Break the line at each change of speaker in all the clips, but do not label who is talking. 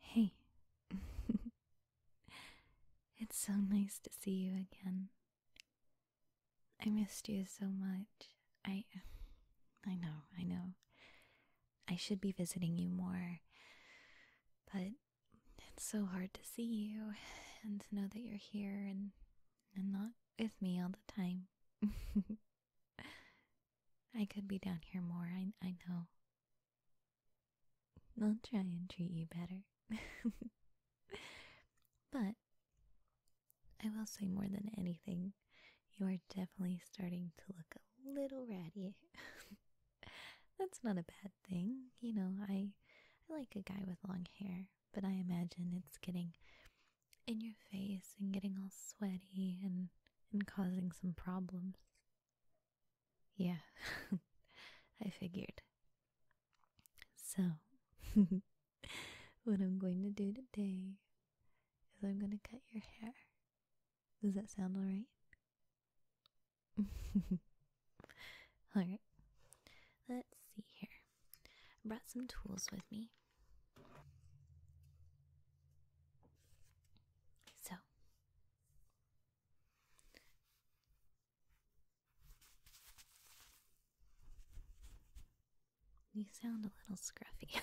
Hey. it's so nice to see you again. I missed you so much. I I know, I know. I should be visiting you more. But it's so hard to see you and to know that you're here and and not with me all the time. I could be down here more. I I know. I'll try and treat you better. but I will say more than anything, you are definitely starting to look a little ratty. That's not a bad thing. You know, I I like a guy with long hair, but I imagine it's getting in your face and getting all sweaty and and causing some problems. Yeah, I figured. So, what I'm going to do today is I'm going to cut your hair. Does that sound alright? alright. Let's see here. I brought some tools with me. So, you sound a little scruffy.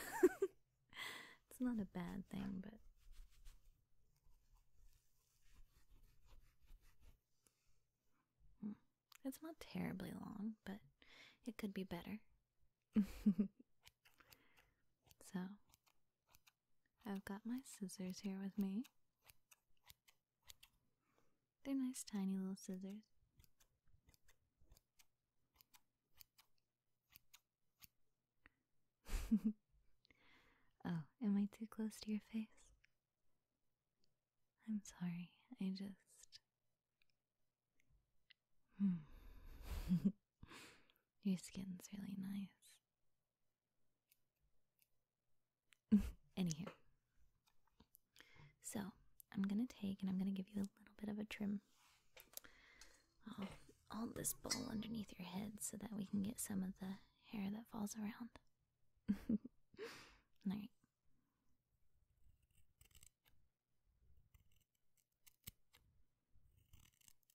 it's not a bad thing, but. Hmm. It's not terribly long, but it could be better. so, I've got my scissors here with me. They're nice, tiny little scissors. oh, am I too close to your face? I'm sorry, I just. Hmm. Your skin's really nice. Anywho, so I'm gonna take and I'm gonna give you a little bit of a trim. I'll hold this bowl underneath your head so that we can get some of the hair that falls around. Alright.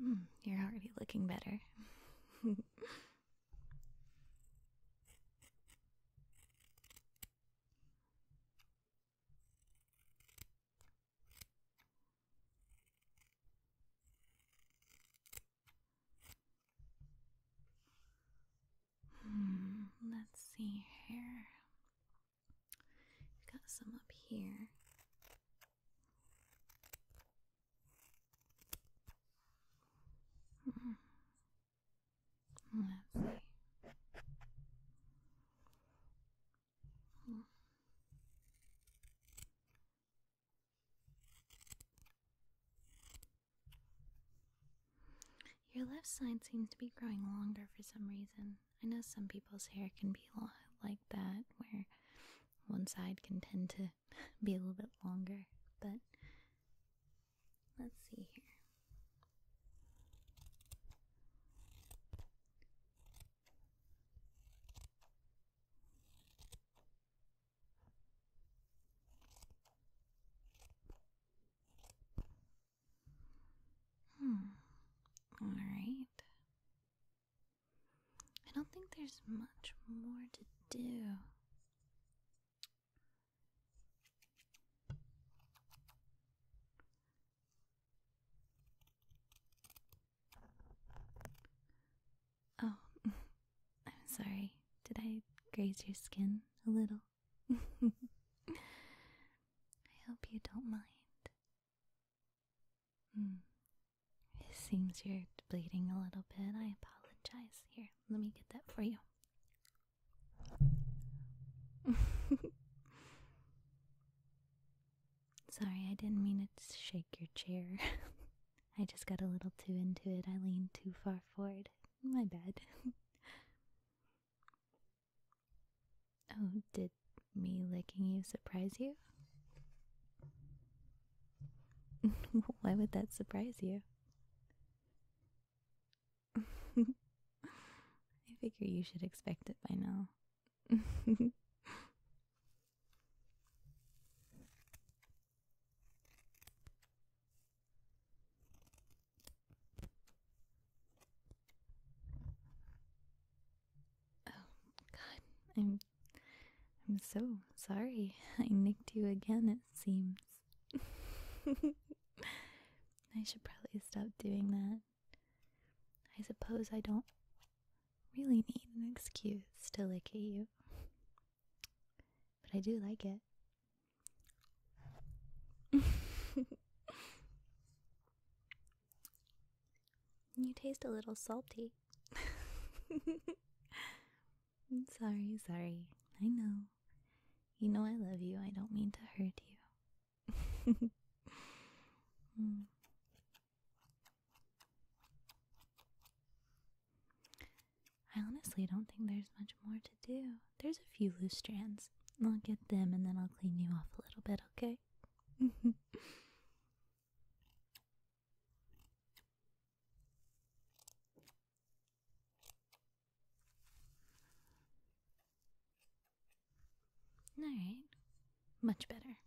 Hmm, you're already looking better. Hmm, let's see here. got some up here. Hmm, let's see. Your left side seems to be growing longer for some reason. I know some people's hair can be a lot like that, where one side can tend to be a little bit longer, but let's see here. Hmm. Alright. I don't think there's much more to do. Oh, I'm sorry. Did I graze your skin a little? I hope you don't mind. Hmm. It seems you're bleeding a little bit. I apologize. Here, let me get that for you. Sorry, I didn't mean to shake your chair. I just got a little too into it. I leaned too far forward. My bad. Oh, did me licking you surprise you? Why would that surprise you? I figure you should expect it by now. Oh, God, I'm. I'm so sorry. I nicked you again, it seems. I should probably stop doing that. I suppose I don't really need an excuse to lick you. But I do like it you taste a little salty. I'm sorry, sorry. I know. You know I love you. I don't mean to hurt you. Hmm. I honestly don't think there's much more to do there's a few loose strands. I'll get them and then I'll clean you off a little bit, okay? Alright, much better.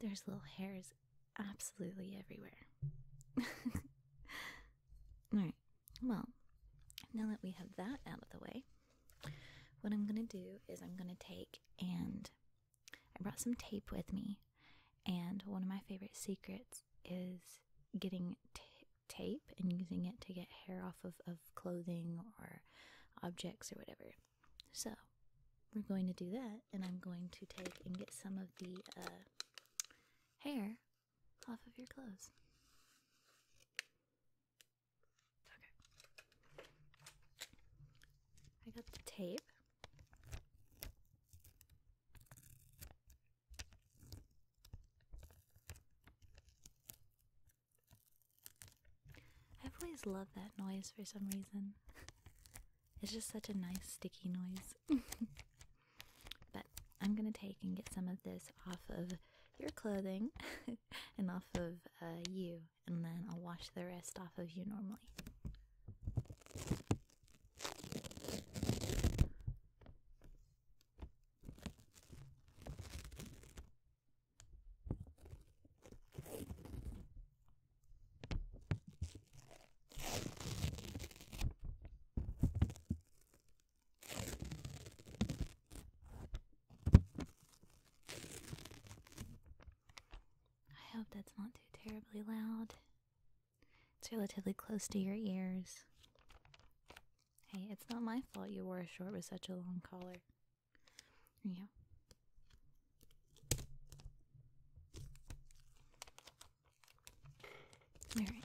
There's little hairs absolutely everywhere. Alright, well, now that we have that out of the way, what I'm going to do is I'm going to take and I brought some tape with me, and one of my favorite secrets is getting tape and using it to get hair off of, of clothing or objects or whatever. So, we're going to do that, and I'm going to take and get some of the uh, hair off of your clothes. Okay. I got the tape. I've always loved that noise for some reason. It's just such a nice sticky noise. But I'm going to take and get some of this off of your clothing and off of uh, you, and then I'll wash the rest off of you normally. I hope that's not too terribly loud. It's relatively close to your ears. Hey, it's not my fault you wore a shirt with such a long collar. Yeah. Alright.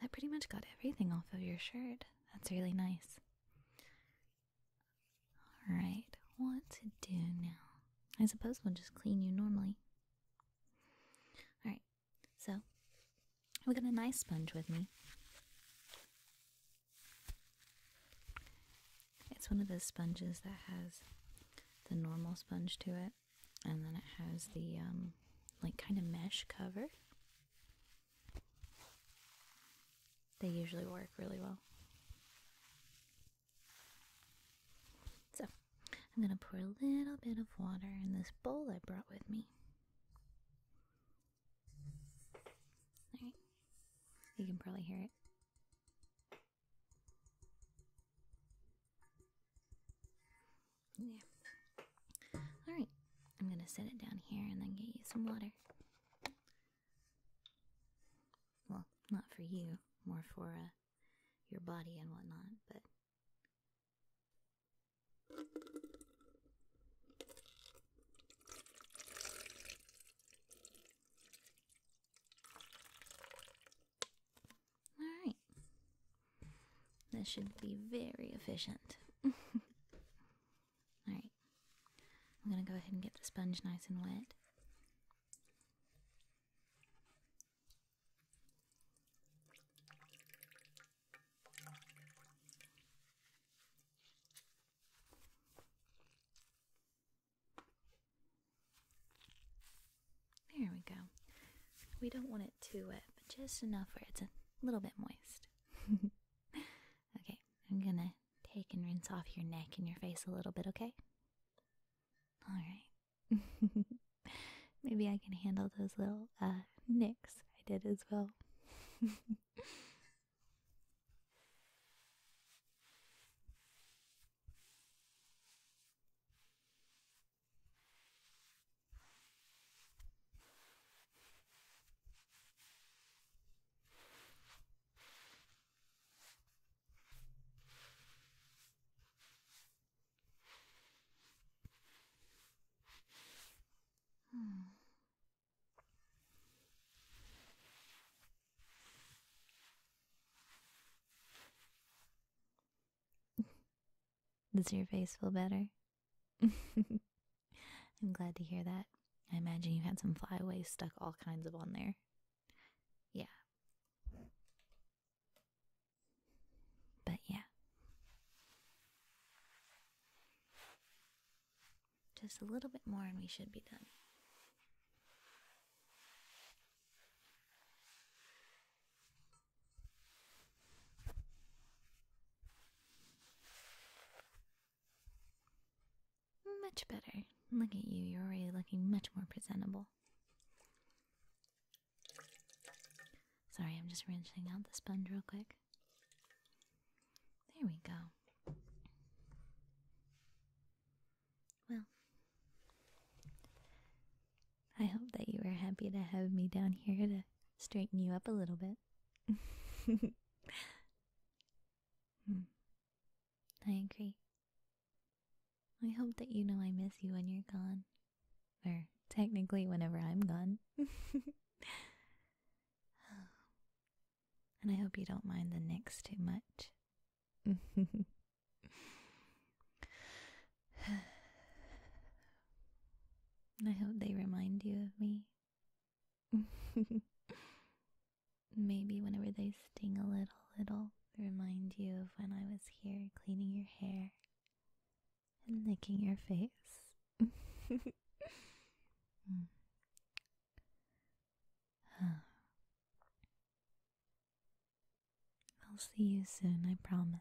that pretty much got everything off of your shirt. That's really nice. Alright, what to do now? I suppose we'll just clean you normally. Alright, so we got a nice sponge with me. It's one of those sponges that has the normal sponge to it, and then it has the um, like kind of mesh cover they usually work really well. So, I'm going to pour a little bit of water in this bowl I brought with me. Alright, you can probably hear it. Yeah. Alright, I'm gonna set it down here and then get you some water. Well, not for you, more for uh, your body and whatnot, but. Alright, this should be very efficient. Alright, I'm going to go ahead and get the sponge nice and wet. There we go. We don't want it too wet, but just enough where it's a a little bit moist. okay, I'm gonna take and rinse off your neck and your face a little bit, okay? Alright. Maybe I can handle those little uh, nicks I did as well. Hmm. Does your face feel better? I'm glad to hear that. I imagine you had some flyaways stuck all kinds of on there. Yeah. But yeah. Just a little bit more and we should be done. Much better. Look at you, you're already looking much more presentable. Sorry, I'm just rinsing out the sponge real quick. There we go. Well, I hope that you were happy to have me down here to straighten you up a little bit. Hmm. I agree. I hope that you know I miss you when you're gone. Or technically, whenever I'm gone. and I hope you don't mind the nicks too much. I hope they remind you of me. Maybe whenever they sting a little, it'll remind you of when I was here cleaning your hair and licking your face. Hmm. I'll see you soon, I promise.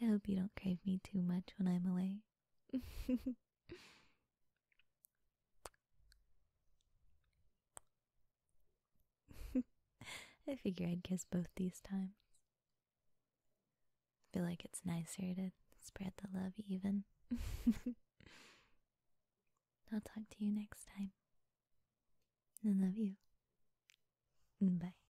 I hope you don't crave me too much when I'm away. I figure I'd kiss both these times. Feel like it's nicer to spread the love even. I'll talk to you next time. I love you. Bye.